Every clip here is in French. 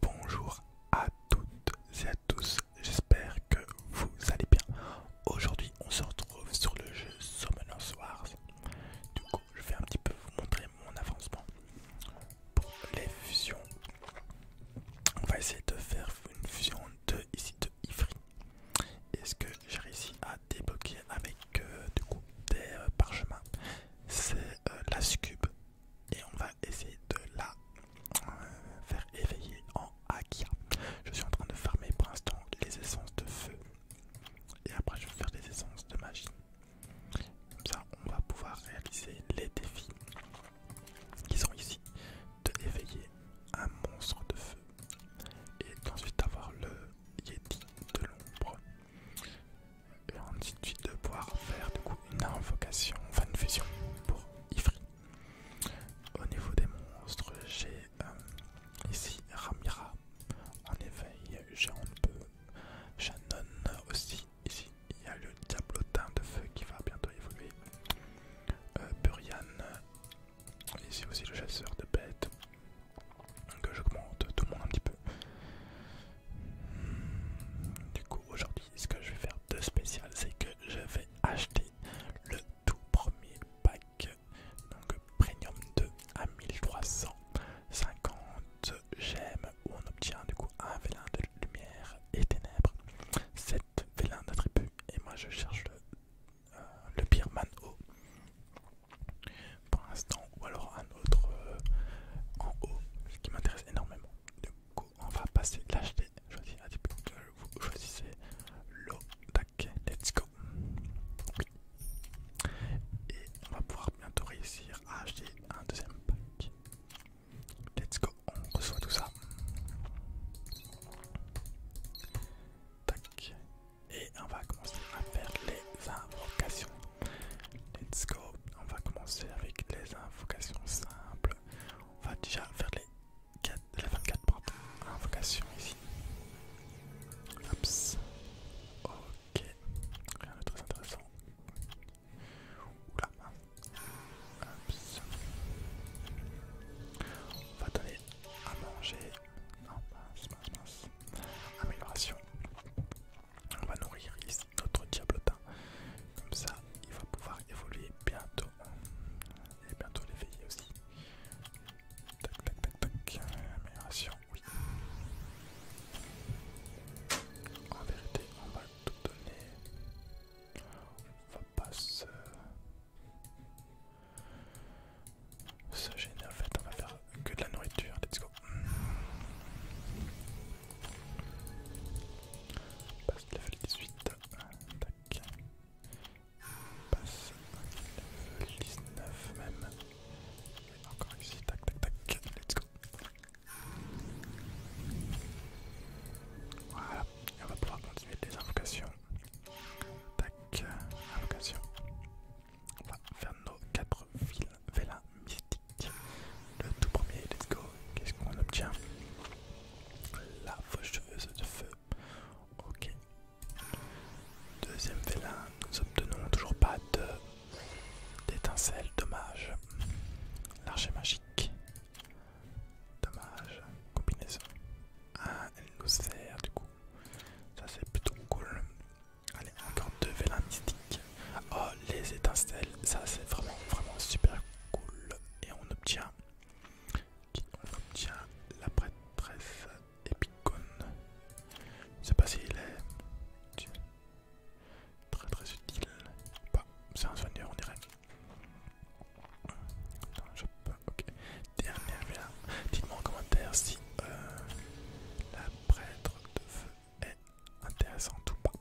Bonjour à toutes et à tous, j'espère que vous allez bien. Aujourd'hui on se retrouve sur le jeu Summoners Wars. Du coup je vais un petit peu vous montrer mon avancement pour les fusions. On va essayer de faire une fusion de ici de Ifri. Est-ce que j'ai réussi à débloquer avec euh, du coup des euh, parchemins C'est euh, la Scube et on va essayer de la euh, faire éveiller en Akia. Je suis en train de farmer pour l'instant les essences de feu et après je vais faire des essences de magie. Comme ça on va pouvoir réaliser les défis qui sont ici de éveiller un monstre de feu et d'ensuite avoir le Yeti de l'ombre. Et on dit de pouvoir faire coup une invocation, enfin une fusion pour Ifri. Au niveau des monstres, j'ai euh, ici Ramira en éveil, j'ai un peu Shannon aussi. Ici, il y a le diablotin de feu qui va bientôt évoluer. Euh, Burian, ici aussi le chasseur de bêtes que j'augmente tout le monde un petit peu. Du coup aujourd'hui ce que je vais faire de spécial c'est que je vais acheter le tout premier pack donc premium 2 à 1350 gemmes où on obtient du coup un vélin de lumière et ténèbres, 7 vélins d'attributs et moi je cherche le, euh, le Birman O pour l'instant, ou alors un autre en euh, haut, ce qui m'intéresse énormément. Du coup, on va passer l'acheter. Choisissez un vous choisissez tac, Let's go! Et on va pouvoir bientôt réussir à acheter un deuxième pack. Let's go, on reçoit tout ça. Tac, et on va commencer à faire les invocations. Let's go, on va commencer avec les invocations simples. On va déjà faire les, 24 invocations ici. Ok, rien de très intéressant. Oula, on va donner à manger non, mince, mince, mince. Amélioration. On va nourrir notre diablotin. Comme ça, il va pouvoir évoluer bientôt. Et bientôt l'éveiller aussi. Tac, tac, tac, tac. Amélioration, oui. En vérité, on va tout donner. On va pas se... Ça gêne en fait, on va faire que de la nourriture, let's go. Passe level 18, tac. Passe level 19 même. encore ici, tac tac tac, let's go. Voilà, et on va pouvoir continuer les invocations. Tac, invocation. Euh, On va faire nos 4 vélins mystiques. Le tout premier, let's go. Qu'est-ce qu'on obtient La Faucheuse de feu. Ok. Deuxième vélin, nous obtenons toujours pas de d'étincelle, dommage. L'archer magique. Dommage. Combinaison. Ah, elle nous sert du coup ça c'est plutôt cool. Allez, encore deux vélins mystiques. Oh, les étincelles, ça c'est vraiment, vraiment super cool. Et on obtient, on obtient la prêtresse epicone Je sais pas s'il est très très utile. c'est un soigneur on dirait. Dernière Dites-moi en commentaire si euh, la prêtre de feu est intéressante ou pas.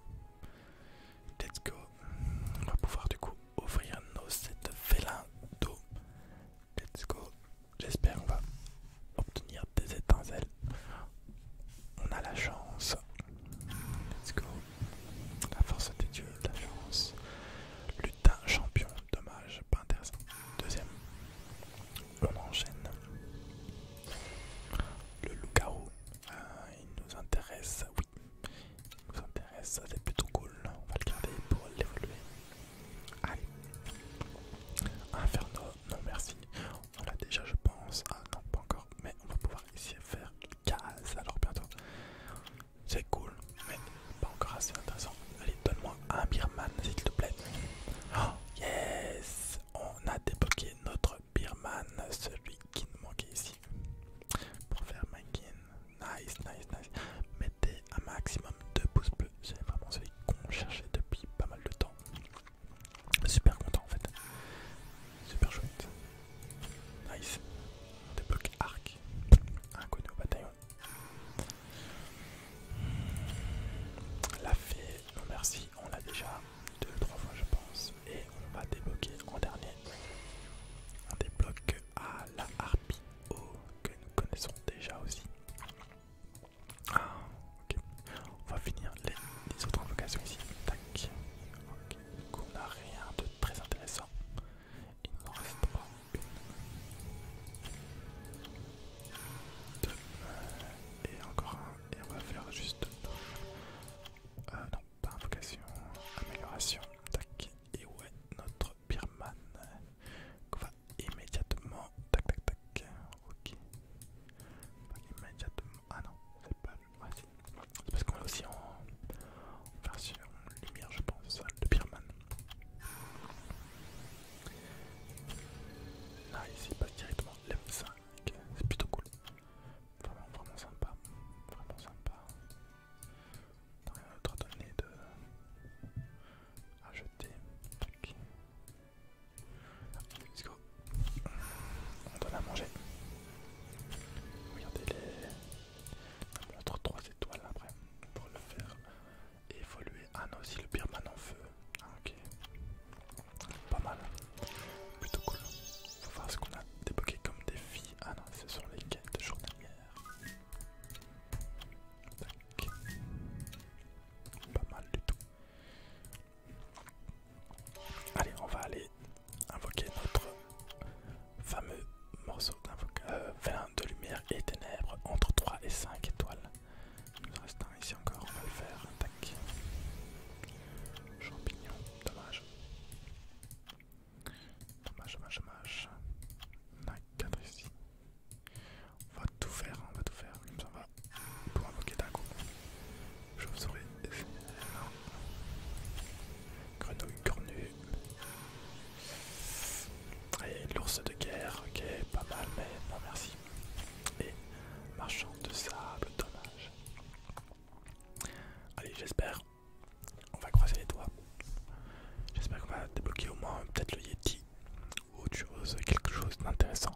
Let's go. On va pouvoir du coup ouvrir nos 7 vélins d'eau. Let's go. J'espère qu'on va obtenir des étincelles. On a la chance. Let's go. La force des dieux, la chance, Lutin champion, dommage, pas intéressant. Deuxième. On enchaîne. Le loup-garou, ah, il nous intéresse, oui. Il nous intéresse, c'est plutôt cool. On va le garder pour l'évoluer. Allez. Inferno, non merci. On l'a déjà je pense. Ah non, pas encore. Mais on va pouvoir essayer de faire case, alors bientôt. C'est cool, mais pas encore assez intéressant. Allez, donne-moi un Birman, s'il te plaît. Oh, yes On a débloqué notre Birman, celui qui nous manquait ici. Pour faire Mankin. Nice, nice, nice. Mettez un maximum de pouces bleus. C'est vraiment celui qu'on cherchait depuis pas mal de temps. Super content en fait. Super chouette. Nice. débloque arc. Inconnu au bataillon. La fée, non merci, on l'a déjà deux ou trois fois je pense. Et on va débloquer en dernier. On débloque à la harpie que nous connaissons déjà aussi. Ah, ok. On va finir les, autres invocations ici. Du on n'a rien de très intéressant. Il nous reste pas une. et encore un. Et on va faire juste. Euh, non, pas invocation. Amélioration. Tac. Et ouais, notre birman. Qu'on va immédiatement. Tac, tac, tac. Ok. va immédiatement ah non, c'est pas c'est parce qu'on est aussi en version lumière, je pense, de Birman. Là, ici, il passe directement lm 5. C'est plutôt cool. Vraiment, vraiment sympa. Vraiment sympa. T'as rien d'autre à donner de. à jeter. On donne à manger. Regardez les. On 3 étoiles après pour le faire évoluer. Ah non, aussi le birman en feu. Ah, ok. Pas mal. Plutôt cool. Faut voir ce qu'on a débloqué comme défi. Ah non, ce sont les quêtes journalières. Tac. Pas mal du tout. Allez, on va aller invoquer notre fameux morceau d'invocation euh, de lumière et ténèbres entre 3 et 5 étoiles. Il nous reste un ici encore, on va le faire. Tac. Champignon, dommage. Dommage, dommage, dommage. On ici. On va tout faire, on va tout faire pour invoquer d'un coup. Chauve-souris, Grenouille cornue. Et l'ours de guerre, ok, pas mal, mais non merci. Et marchand de sable, dommage. Allez, j'espère. On va croiser les doigts. J'espère qu'on va débloquer au moins peut-être le Yeti ou autre chose, quelque chose d'intéressant.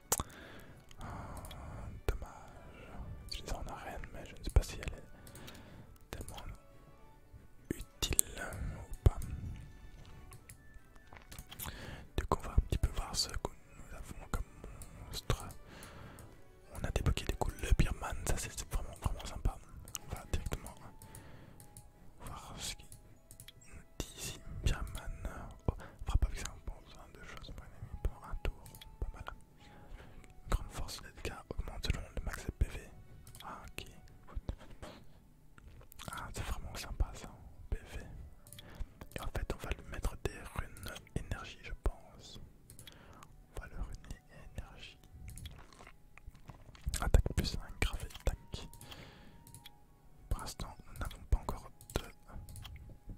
Ah, dommage. rien mais je ne sais pas si elle est tellement utile ou pas. Du coup, on va un petit peu voir ce que nous avons comme monstre. On a débloqué du coup le Birman, ça c'est vraiment vraiment sympa. On va directement voir ce qu'il nous dit ici. Oh, frappe avec ça, bon besoin de choses pour un tour, pas mal. grande force de dégâts augmente selon le max de PV. Ah, ok. Ah, c'est vraiment sympa ça, PV. en fait, on va lui mettre des runes énergie, je pense. On va le runer énergie. Attaque plus un gravé, tac. Pour l'instant, nous n'avons pas encore de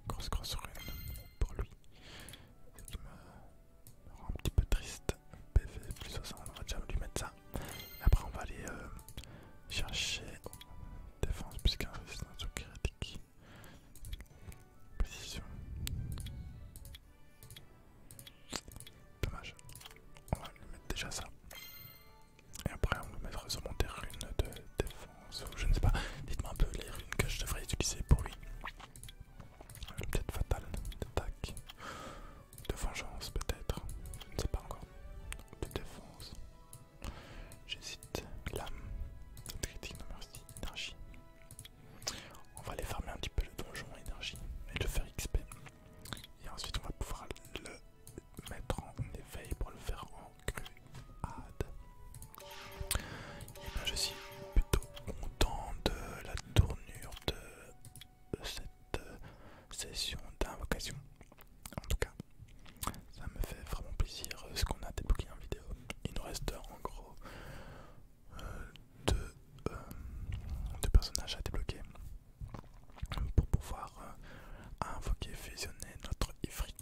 grosse grosse rune pour lui. Ce qui me rend un petit peu triste. PV plus 60, on va déjà lui mettre ça. Et après, on va aller euh, chercher puisqu'il défense plus un résistance critique. Précision. Dommage. On va lui mettre déjà ça. Et après, on va mettre sûrement des runes de défense. Je ne sais pas. Dites-moi un peu les runes que je devrais utiliser pour lui. Euh, peut-être fatale, d'attaque, de vengeance, peut-être. Je ne sais pas encore. De défense. J'hésite. L'âme. Critique, non merci. Énergie. On va aller farmer un petit peu le donjon énergie et le faire XP. Et ensuite, on va pouvoir le mettre en éveil pour le faire en Et ben, je suis plutôt content de la tournure de cette euh, session d'invocation. En tout cas, ça me fait vraiment plaisir euh, ce qu'on a débloqué en vidéo. Il nous reste en gros euh, deux personnages à débloquer pour pouvoir euh, invoquer, fusionner notre Ifri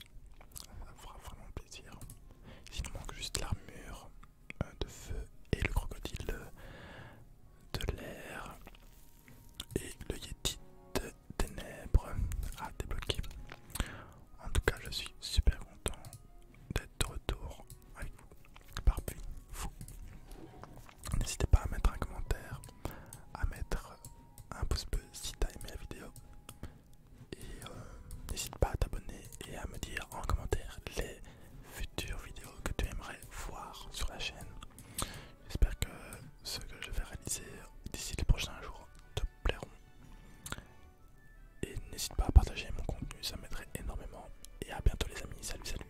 Ça fera vraiment plaisir. Il nous manque juste l'armure euh, de feu et le crocodile euh, de l'air et le Yeti de ténèbres à débloquer. En tout cas, je suis super content d'être de retour avec vous. Parfait, fou. N'hésitez pas à mettre un commentaire, à mettre un pouce bleu si t'as aimé la vidéo. Et euh, n'hésite pas à t'abonner et à me dire en commentaire les futures vidéos que tu aimerais voir sur la chaîne. J'espère que ce que je vais réaliser d'ici les prochains jours te plairont. Et n'hésite pas à partager mon contenu, ça m'aiderait énormément. Et à bientôt les amis, salut salut